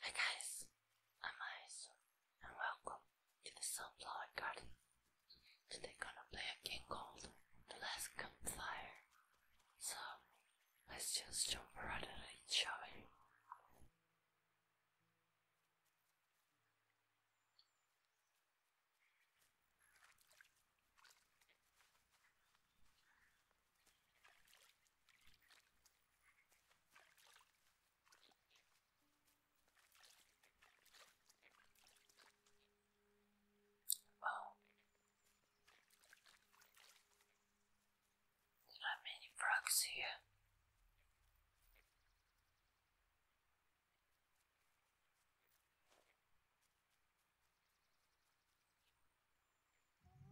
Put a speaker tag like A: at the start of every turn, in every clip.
A: Hi guys, I'm Aizu and welcome to the Sunflower Garden. Today gonna play a game called The Last Campfire. So let's just jump right in it, shall we? Wow. There are many frogs here.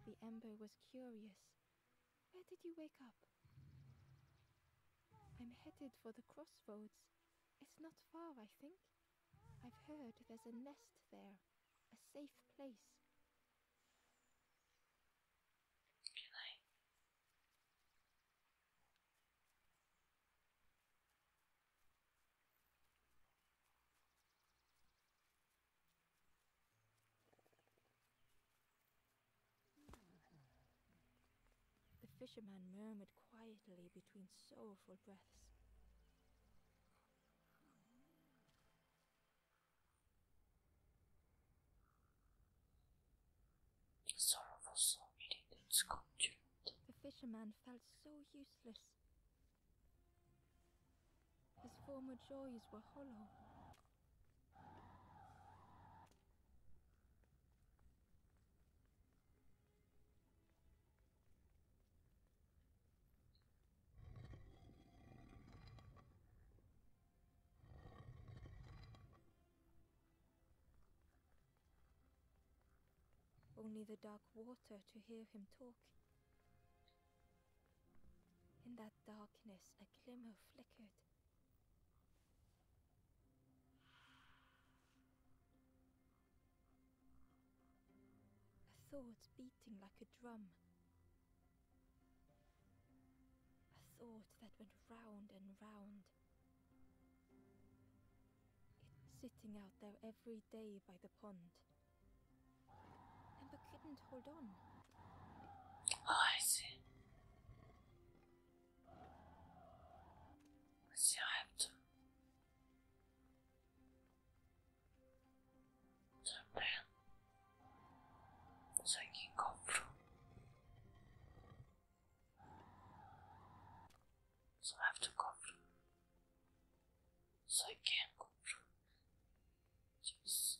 B: The Ember was curious. Where did you wake up? I'm headed for the crossroads. It's not far, I think. I've heard there's a nest there, a safe place. Good night. The fisherman murmured quietly between sorrowful breaths.
A: sorrowful soul eating its content.
B: The fisherman felt so useless. His former joys were hollow. Only the dark water to hear him talk. In that darkness, a glimmer flickered. A thought beating like a drum. A thought that went round and round. sitting out there every day by the pond. I couldn't hold on.
A: Oh, I see. See, I have to turn around so I can go through. So I have to go through. So I can go through. Jeez.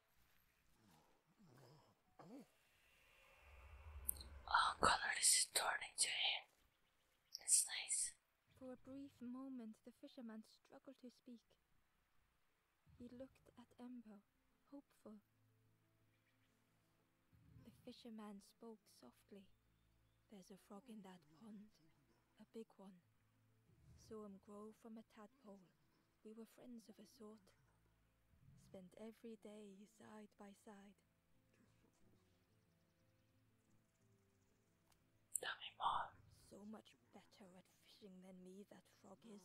A: Oh, color is turning to him. It's nice.
B: For a brief moment, the fisherman struggled to speak. He looked at Embo, hopeful. The fisherman spoke softly. There's a frog in that pond, a big one. Saw him grow from a tadpole we were friends of a sort. Spent every day side by side. Tell me more. So much better at fishing than me, that frog is.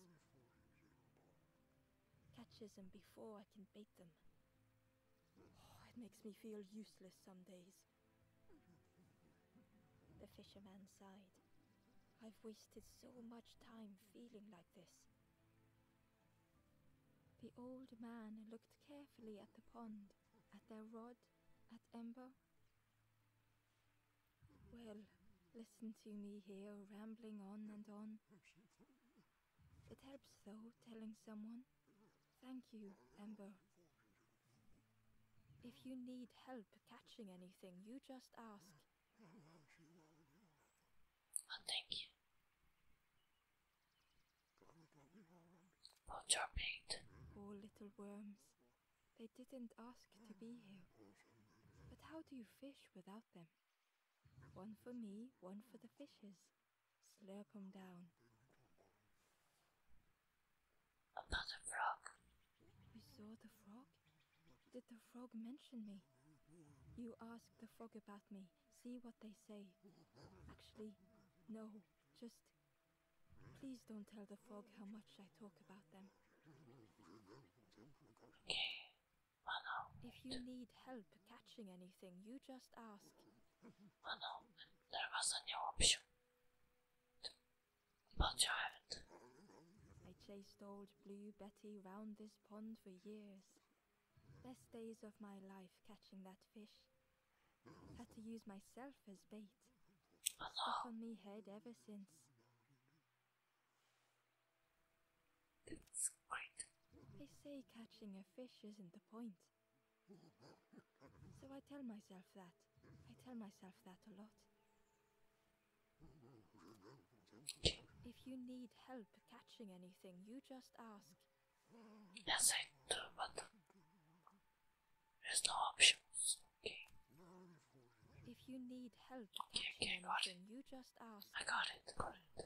B: Catches them before I can bait them. Oh, it makes me feel useless some days. The fisherman sighed. I've wasted so much time feeling like this. The old man looked carefully at the pond, at their rod, at Ember. Well, listen to me here, rambling on and on. It helps, though, telling someone. Thank you, Ember. If you need help catching anything, you just ask.
A: Oh, thank you. For
B: dropping. Poor little worms. They didn't ask to be here. But how do you fish without them? One for me, one for the fishes. Slurp them down.
A: About the frog.
B: We saw the frog? Did the frog mention me? You ask the frog about me, see what they say. Actually, no, just. Please don't tell the frog how much I talk about them.
A: If you need help
B: catching anything, you just ask.
A: Well, no, there was a option. But you I
B: chased old Blue Betty round this pond for years. Best days of my life catching that fish. Had to use myself as bait. Stuck on me head ever since. That's great. They say catching a fish isn't the point. So I tell myself that. I tell myself that a lot. If you need help catching anything, you just ask. Yes, I do,
A: there's no options. If
B: you need help okay, anything, you just ask. I got it, got it.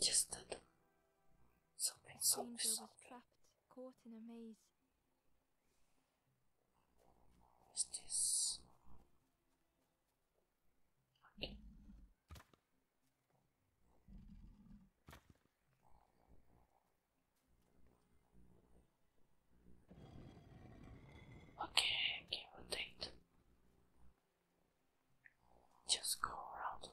B: Just that something, something, something. trapped, caught in a maze. Is this? Okay.
A: Okay, give or just go around.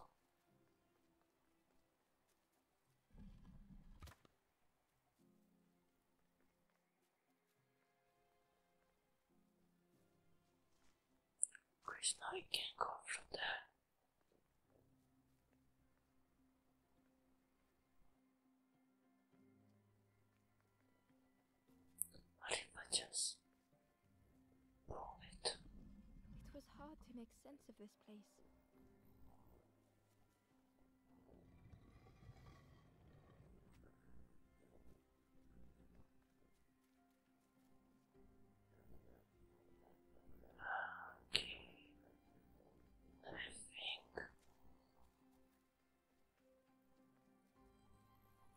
A: Chris, now you can go from there. Allez, Mathias.
B: It was hard to make sense of this place.
A: Okay. I think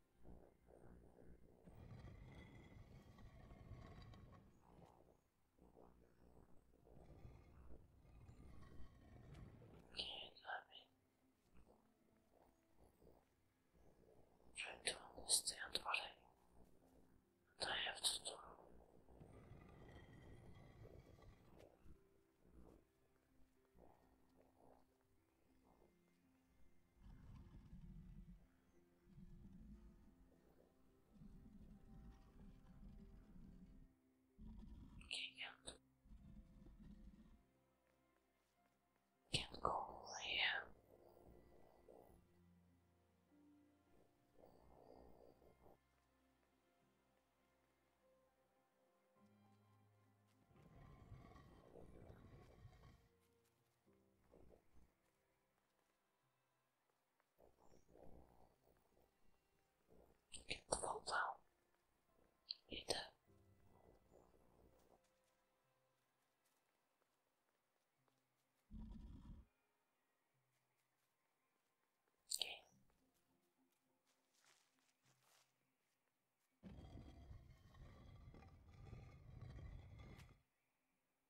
A: Okay, let me try to understand what I have to do. Okay, yeah. Can't go all here. Get the vault Okay.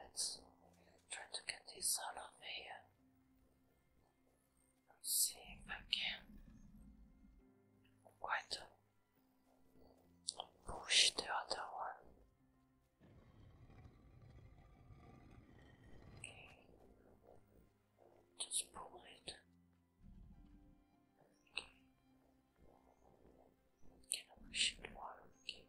A: Let's try to get this out of here. see if I can quite push the other one. Okay. Just pull it. Okay. Can I push it I could.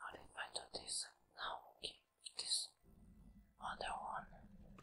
A: How did I do this? Now this other one.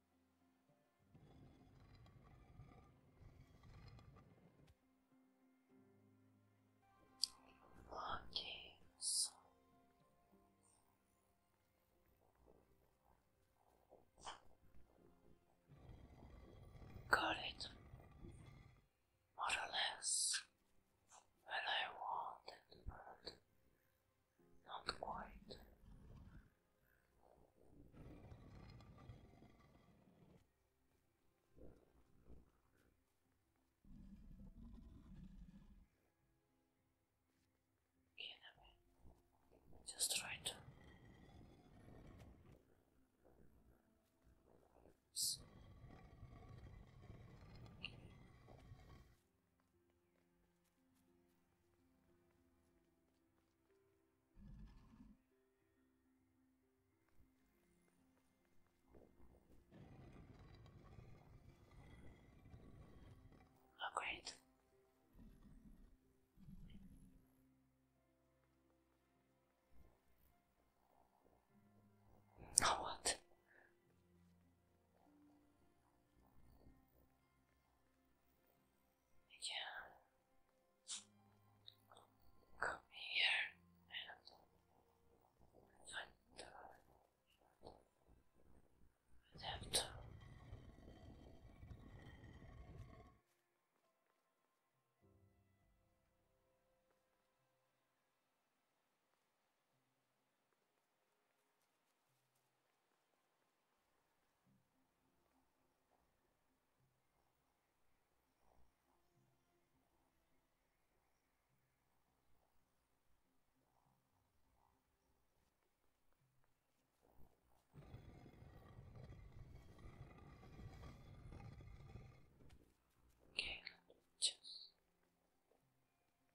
A: Longings. Got it more or less I wanted, but not quite. Anyway, just right. So, Oh, great. Oh, what? Yeah. Come here and find the adapter. Okay, let me just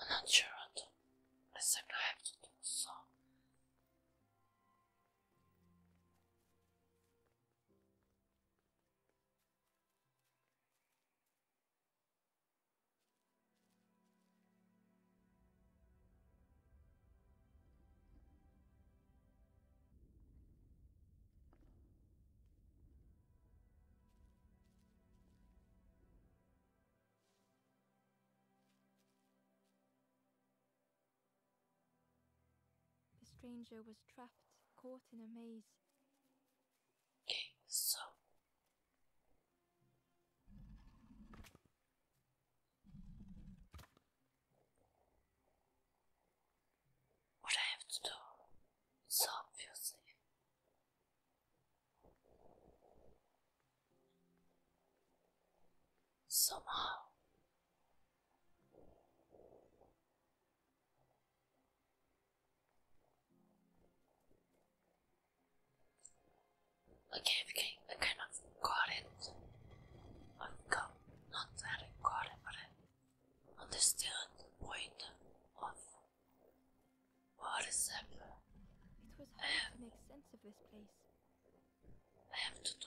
A: I'm not sure what exactly I have to do, so.
B: The stranger was trapped, caught in a maze. So.
A: What I have to do, so obviously. Somehow. Okay, we can, I kind of it. I got not that I it, but I understand the point of what is happening? It
B: was hard have, to make sense of this place. I have to do.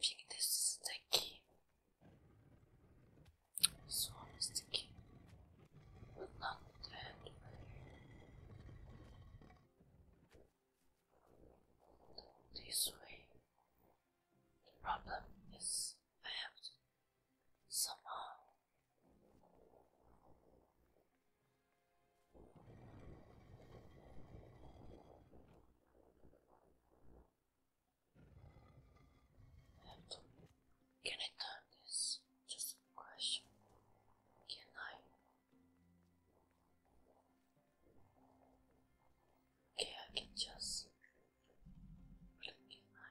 A: I this is the This one but not the handle. This way. The problem is solved somehow And can I turn this? Just a question. Can I? Okay, I can just. But can I?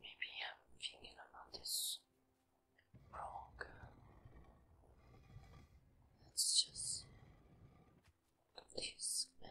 A: Maybe I'm thinking about this wrong. let just this man.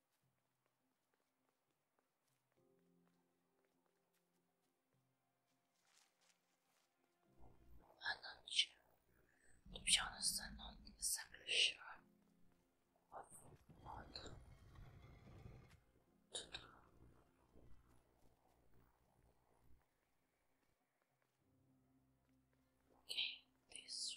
A: I'm not sure. To be I'm exactly sure of what Okay, this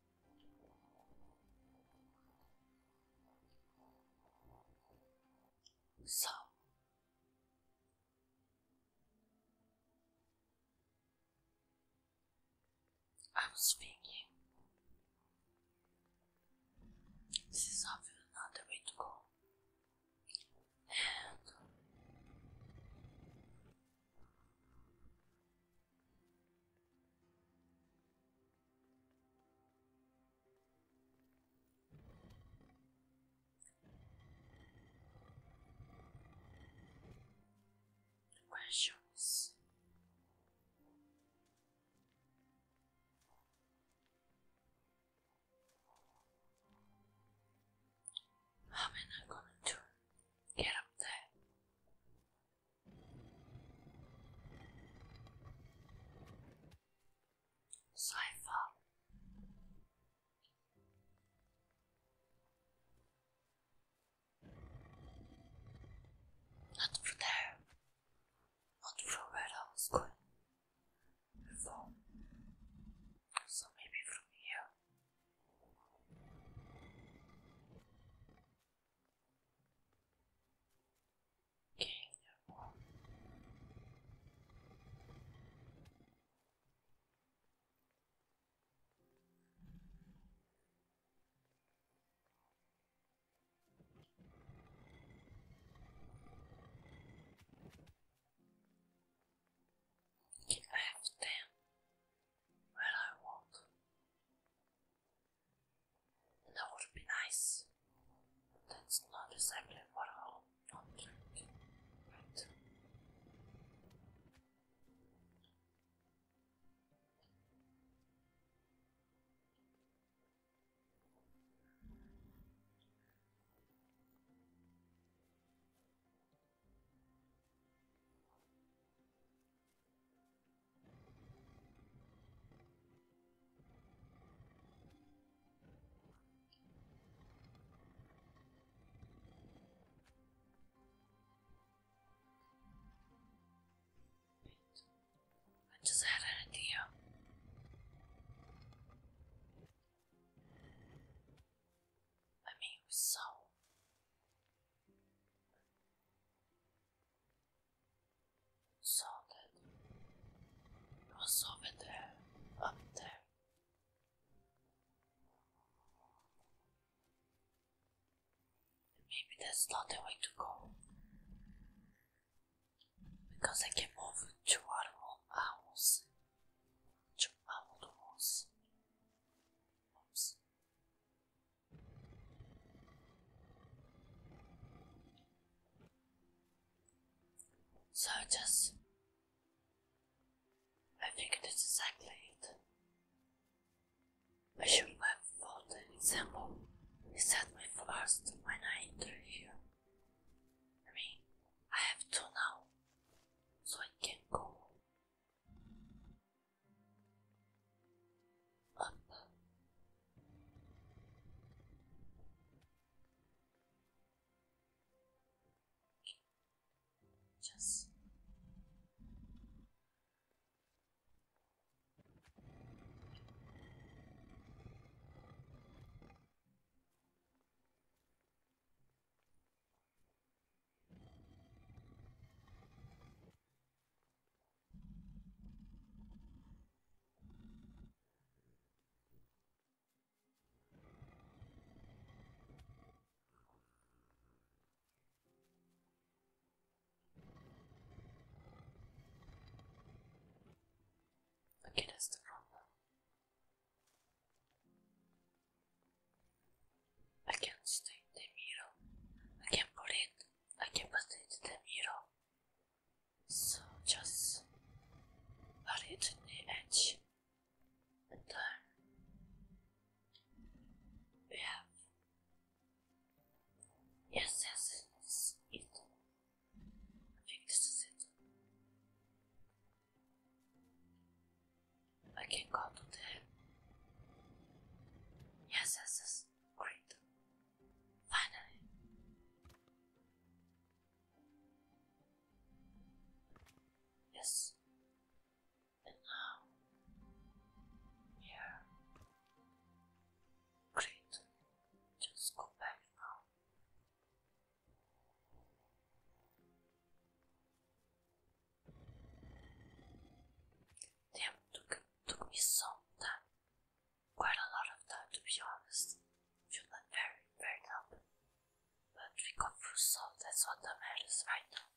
A: So, I'm speaking. This is obviously not the way to go. Questions. How am I gonna do? Get up there. So far, Not through there, not from where I was going before. So maybe from here. Okay, no. I have them I walk. That would be nice. That's not exactly what I want I just had an idea. I mean, so so that it was over there, up there. maybe that's not the way to go. Because I can move two animal owls. Two animal so just, I think that's exactly it. I should have thought an example is set me first when I enter here. I mean, I have to now, so I can go up. Just Okay, that's the problem. I can stay in the middle. I can put it. So just put it in the edge and then we have yes yes it. I it. I can go to the yes yes great Finally. Yes. And now here. Great. Just go back now. Damn, took, took me some time quite a lot of time to be honest. Feel like very, very up. But we got through so that's what matters right now.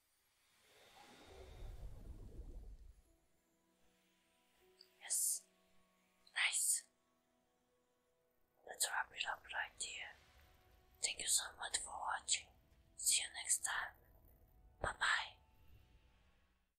A: Yes. Nice. Let's wrap it up right here. Thank you so much for watching. See you next time. Bye bye.